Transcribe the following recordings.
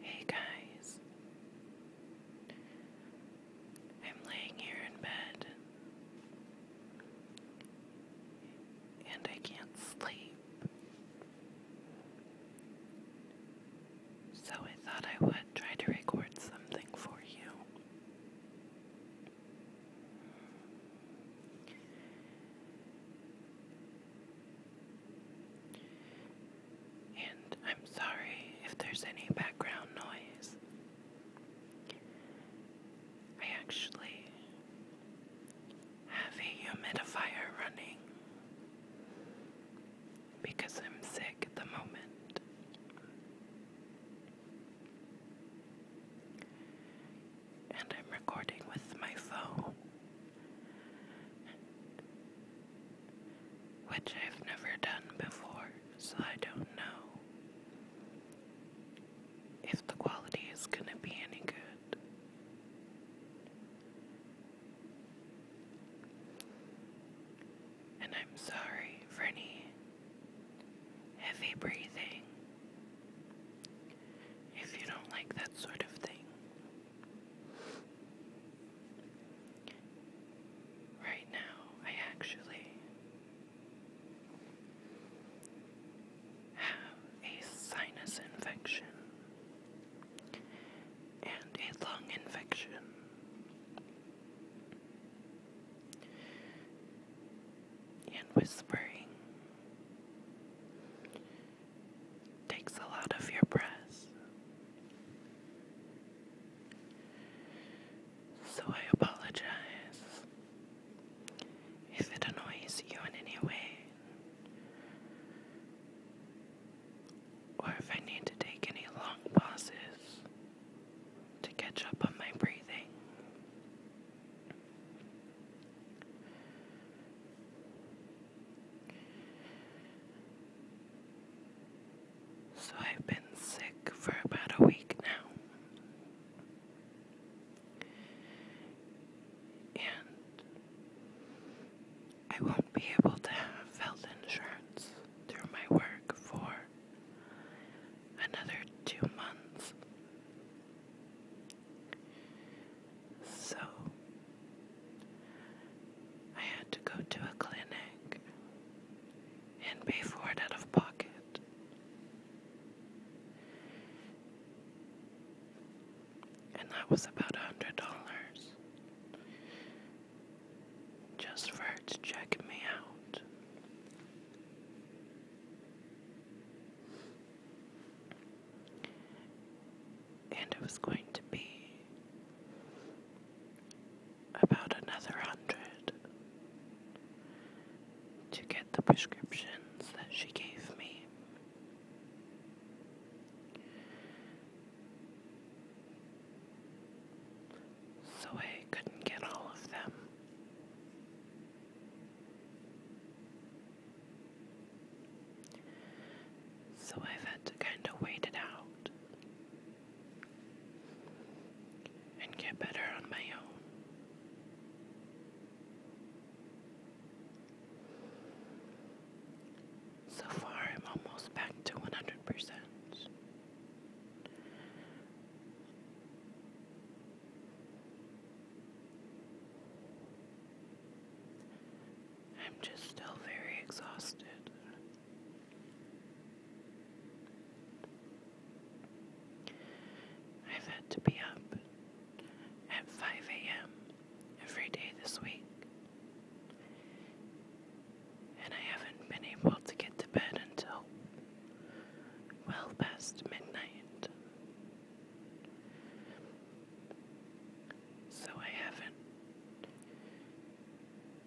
Hey guys, I'm laying here in bed and I can't sleep, so I thought I would try to record something for you. And I'm sorry if there's any background noise. I actually have a humidifier running because I'm sick at the moment and I'm recording with my phone, which I've never done before, so I don't know if the quality is going to be any good. And I'm sorry for any heavy breathing if you don't like that sort of thing. Right now, I actually have a sinus infection and a lung infection. And whispering Takes a lot of your breath. So I apologize if it annoys you in any way, or if I need to take any long pauses to catch up on my breathing. So I've been sick for about a week now. And I won't be able to have health insurance through my work for another two months. So I had to go to a clinic and pay for it out of pocket. And that was about a hundred dollars just for her to check me out. And it was going to be about another hundred to get the prescriptions that she gave me. So I couldn't get all of them. So I've had to kind of wait it out and get better on my own. So far, I'm almost back to 100%. I'm just still very exhausted. I've had to be up at 5 a.m. every day this week, and I haven't been able to get to bed until well past midnight. So I haven't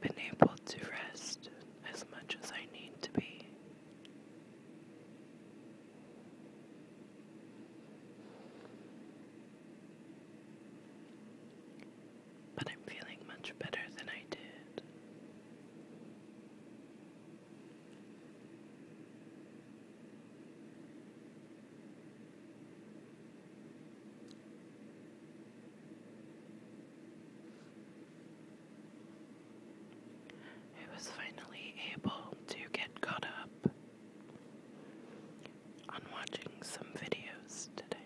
been able to rest as much as I need to be. But I'm feeling much better than I did. I was finally able to get caught up on watching some videos today.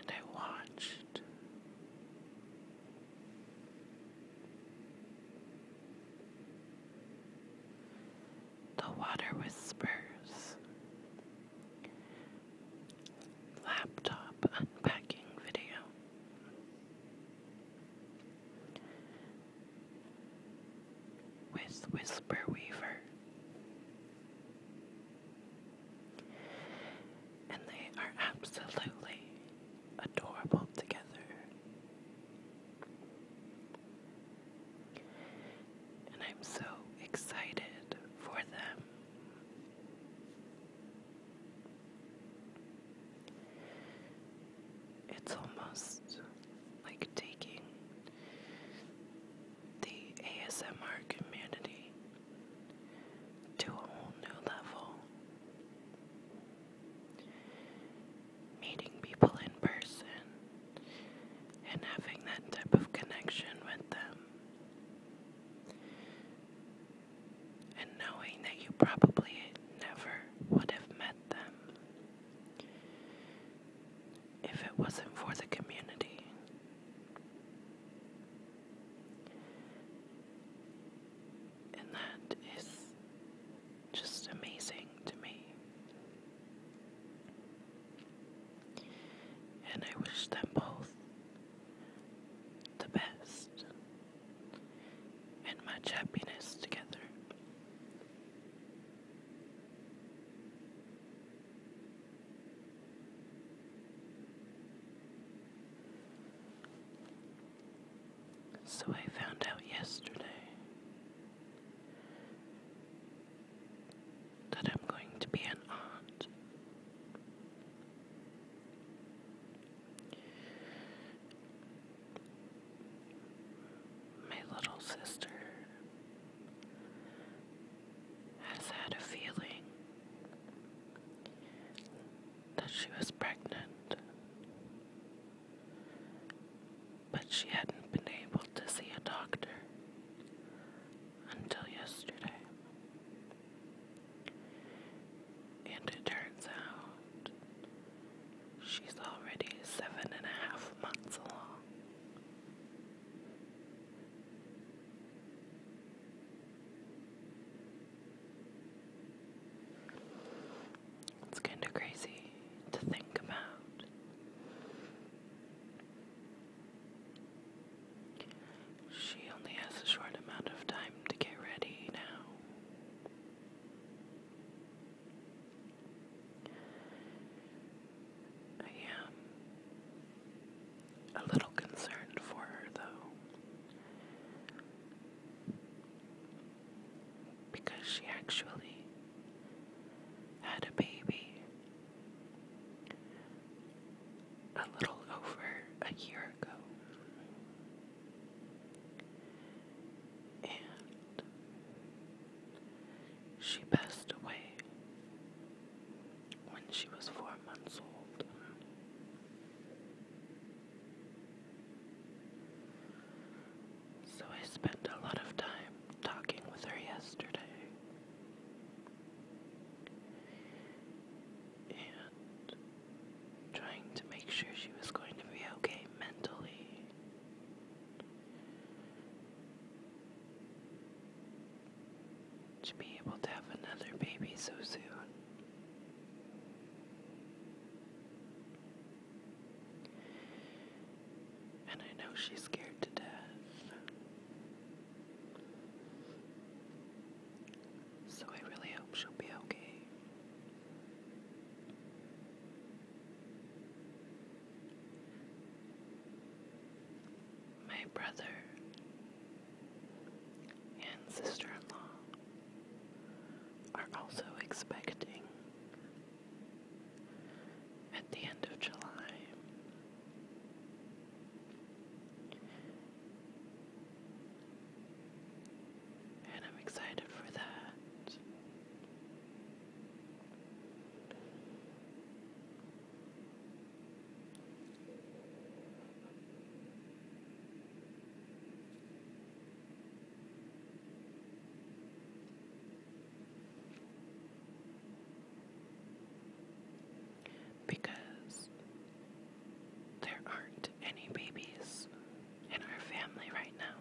And I watched the water whispers laptop unpacking video with Whisper Weaver. And they are absolutely adorable together. And I'm so excited for them. It's almost like taking the ASMR community to a whole new level. Meeting people in person and having that type of connection with them and knowing that you probably never would have met them if it wasn't for the community. And that is just amazing to me. And I wish them both the best and much happiness together. So I found out yesterday that I'm going to be an aunt. My little sister has had a feeling that she was pregnant, but she hadn't been able to see a doctor until yesterday. And it turns out she's already seven and a half months along. It's kind of crazy to think about. She only has a short amount of time to get ready now. I am a little concerned for her, though, because she actually had a baby a little over a year ago. And she passed away when she was four months old. So I spent a lot of time talking with her yesterday and trying to make sure she was going to be okay mentally. To be able to have another baby so soon. And I know she's scared to death. So I really hope she'll be okay. My brother and sister in law are also expecting at the end of July. And I'm excited for that because there aren't any babies in our family right now.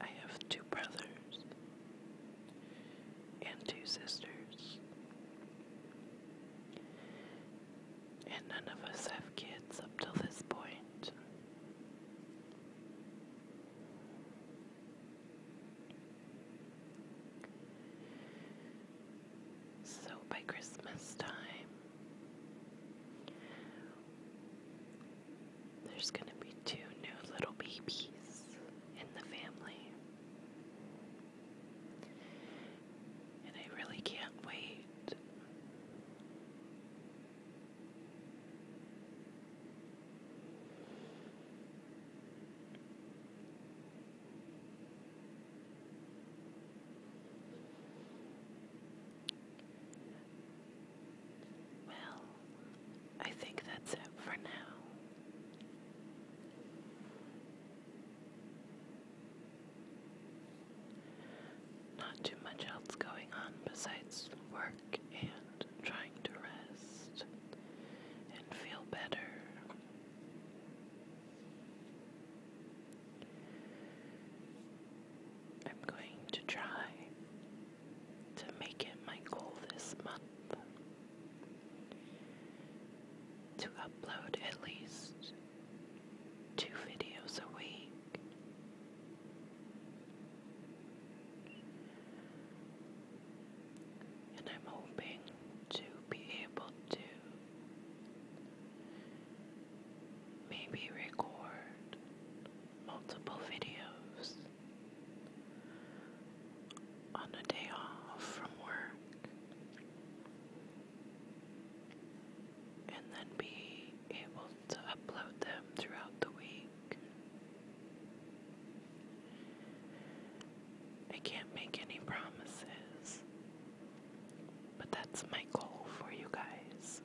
I have two brothers and two sisters, and none of us have kids up till this point. So by Christmas time, there's going to be two new little babies in the family. And I really can't wait well, I think that's it for now. Not too much else going on besides work and and trying to rest and feel better. I'm going to try to make it my goal this month to upload at least two videos a week. And I'm hoping to be able to maybe record multiple videos on a day off from work and then be able to upload them throughout the week. I can't make any promises, but that's my goal for you guys.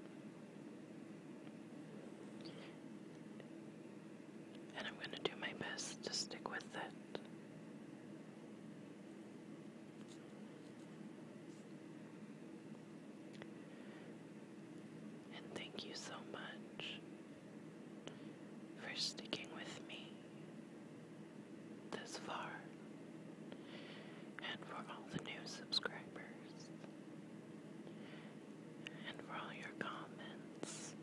And I'm going to do my best to stick with it. And thank you so much for sticking with me this far and for all the new subscribers and for all your comments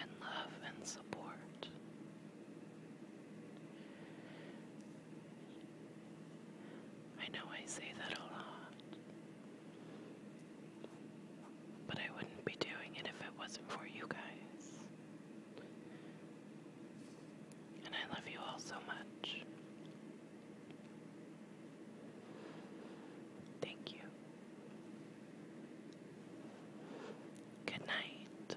and love and support. I know I say that a lot, but I wouldn't be doing it if it wasn't for you guys. And I love you all so much. Thank you. Good night.